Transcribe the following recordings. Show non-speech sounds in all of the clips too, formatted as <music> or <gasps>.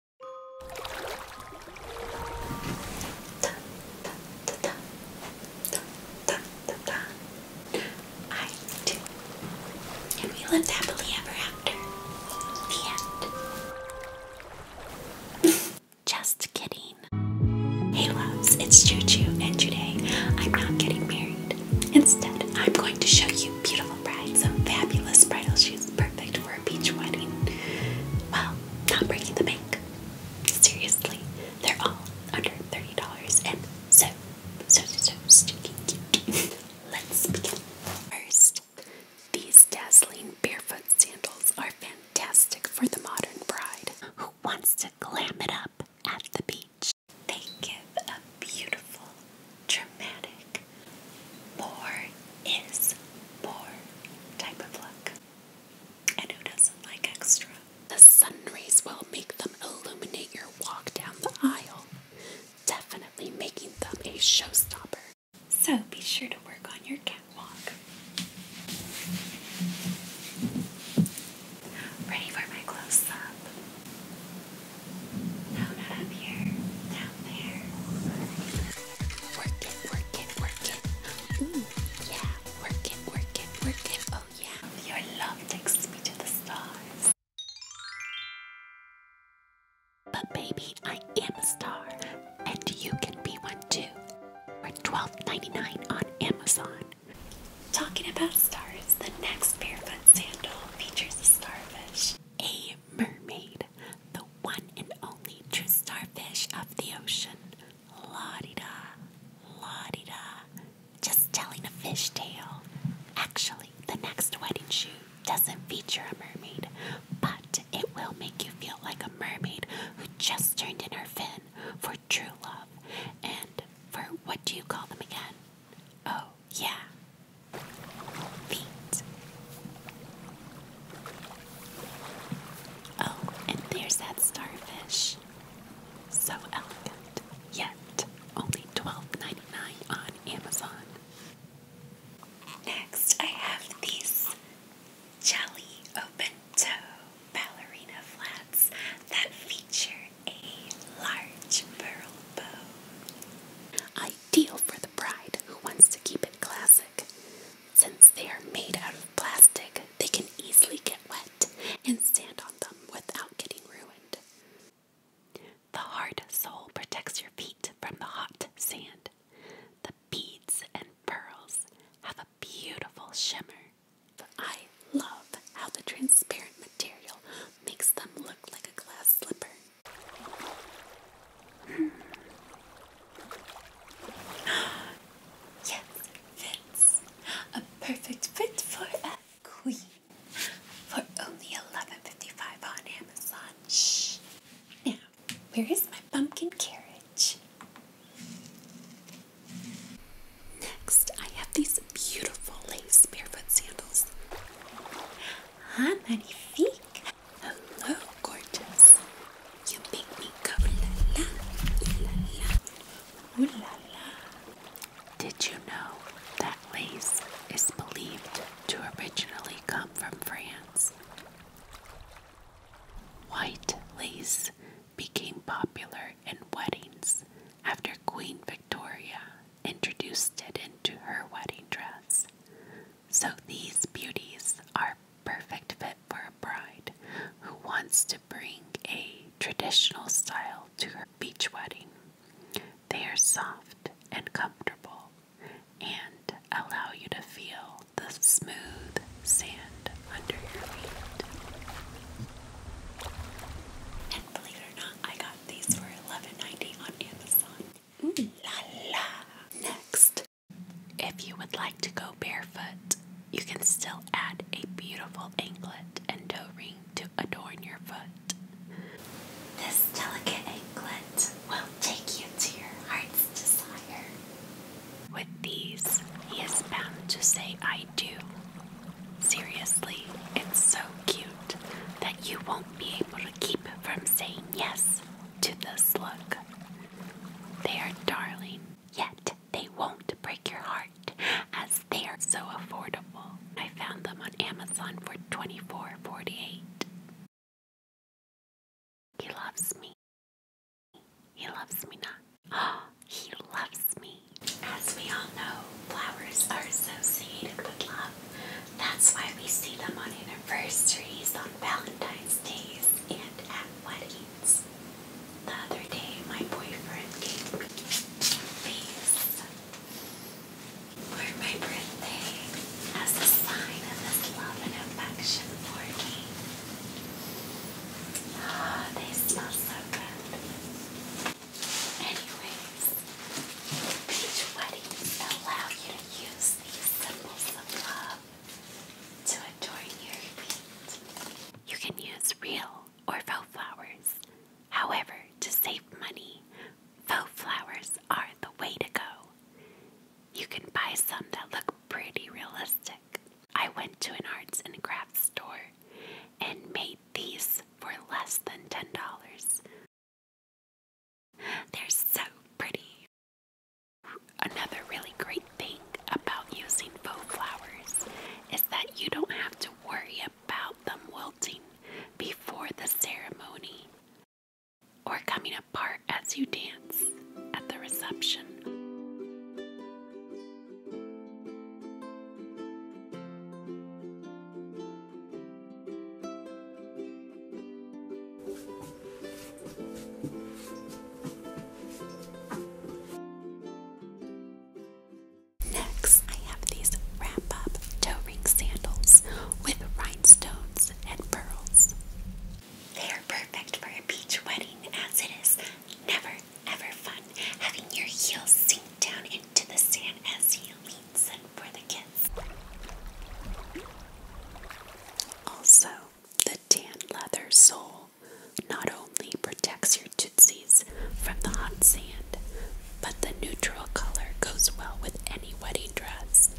I do. And we lived happily ever after. The end. <laughs> Just kidding. Hey loves, it's Choo and today I'm not getting married. Instead, I'm going to show you beautiful brides, some fabulous bridal shoes perfect for a beach wedding. Well, not breaking the bank. Seriously, they're all under $30 and so, so, so, stinking cute. <laughs> Let's begin. First, these dazzling barefoot sandals are fantastic for the modern bride who wants to glam it up at the beach. They give a beautiful, dramatic, more is more type of look. And who doesn't like extra? The sun rays will make them illuminate your walk down the aisle, definitely making them a showstopper. So be sure to work on your catwalk. Ready for my close no, not up here. Down there. Work it, work it, work it. Ooh, yeah. Work it, work it, work it. Oh, yeah. Your love takes me to the stars. But, baby, I am a star. And you can be one too. For $12.99 on Amazon. Talking about stars, the next barefoot sandal features a starfish a mermaid, the one and only true starfish of the ocean. La di da, la di da, just telling a fish tale. Actually, the next wedding shoe doesn't feature a mermaid, but it will make you feel like a mermaid who just turned in her fin for true love and for what do you call them again? Oh, yeah, Oh, and there's that starfish. So elegant, yet only 12 on Amazon. Next, I have these jelly open toe ballerina flats that feature a large pearl bow. Ideal for the bride who wants to keep it classic. Since they are made out of plastic, they can easily get wet and stand on them without getting ruined. The hard sole protects your feet from the hot sand. The beads and pearls have a beautiful shimmer I love how the transparent material makes them look like a glass slipper. Hmm. <gasps> yes, fits. A perfect fit for a queen. For only $11.55 on Amazon. Shh. Now, where is my pumpkin carriage? Next, I have these beautiful lace barefoot sandals. Ah, magnifique! Hello, gorgeous. You make me cover la la, la la la. Did you know that lace is believed to originally come from France? White lace became popular in weddings after Queen Victoria introduced it into her wedding dress. So these beauties are perfect fit for a bride who wants to bring a traditional style to her beach wedding. They are soft and comfortable and allow you to feel the smooth sand and believe it or not, I got these for 11 on Amazon. Ooh. Mm. La la. Next, if you would like to go barefoot, you can still add a beautiful anklet and toe ring to adorn your foot. This delicate anklet will take you to your heart's desire. With these, he is bound to say, I do. Seriously, it's so cute that you won't be able to keep from saying yes to this look. They are darling, yet they won't break your heart as they are so affordable. I found them on Amazon for twenty-four forty-eight. He loves me. He loves me not. Oh, <gasps> he loves me. As we all know, flowers are associated with love. That's why we see them on anniversaries, on Valentine's Days, and at weddings. The other day, my boyfriend gave me these for my birthday as a sign of his love and affection for me. Ah, they smell so good. Anyways, beach weddings allow you to use these symbols of love to adorn your feet. You can use real or faux flowers. However, to save money, faux flowers are the way to go. You can buy some that look pretty realistic. I went to an arts and crafts store and made these for less than $10. They're so pretty. Another really great thing about using faux flowers is that you don't have to worry about them wilting before the ceremony or coming apart as you dance at the reception. Next, I have these wrap up toe ring sandals with rhinestones and pearls. They are perfect for a beach wedding as it is never ever fun having your heels sink down into the sand as you lean in for the kids, Also, the tan leather sole not only protects your tootsies from the hot sand, but the neutral color goes well with any wedding dress.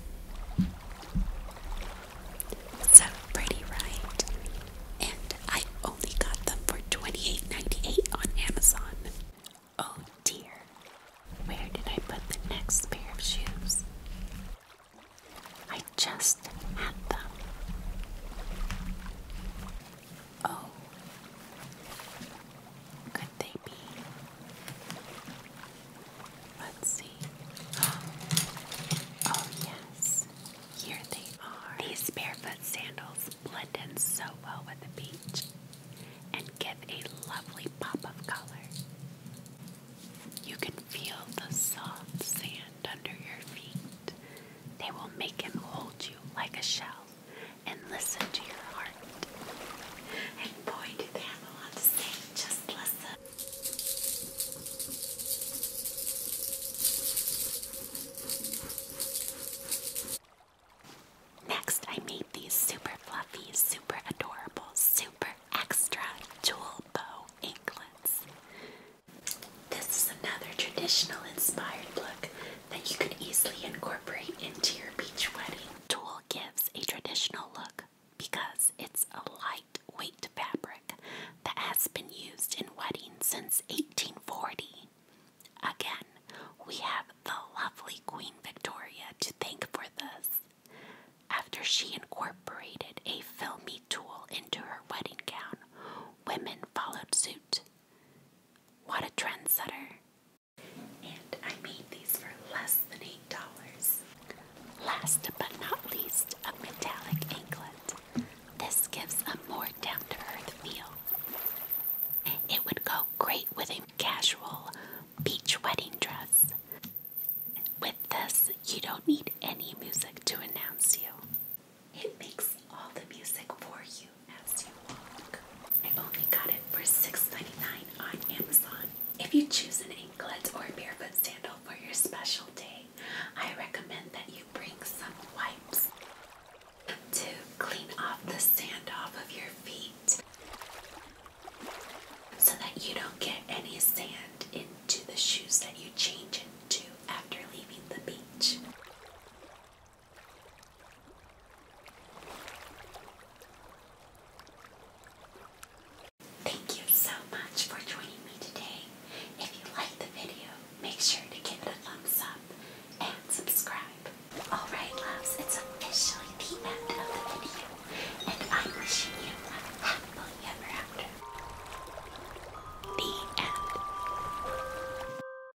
So pretty, right? And I only got them for 28 on Amazon. Oh dear. Where did I put the next pair of shoes? I just had them. Oh. Could they be Let's see. <gasps> Oh, yes. Here they are. These barefoot sandals blend in so well with the beach and give a lovely pop of color. You can feel the soft sand under your feet. They will make him hold you like a shell and listen to your heart. Next, I made these super fluffy, super adorable, super extra jewel bow anklets. This is another traditional inspired look that you could easily incorporate into your beach wedding gives a traditional look because it's a lightweight fabric that has been used in weddings since 1840. Again, we have the lovely Queen Victoria to thank for this. After she incorporated a filmy tulle into her wedding gown, women followed suit. What a trendsetter! And I made these for less than $8. Last but not least, a metallic anklet. This gives a more down to earth feel. It would go great with a casual beach wedding dress. With this, you don't need any music to announce you. It makes all the music for you as you walk. I only got it for 6 on Amazon. If you choose an anklet or barefoot sandal for your special day, I recommend that you bring some wipes to clean off the sand off of your feet so that you don't get any sand into the shoes that you change into after leaving the beach. Thank you so much for joining me today. If you like the video, make sure to give it a thumbs up and subscribe. Alright loves, it's officially the end of the video and I'm wishing you a happy ever after. The end.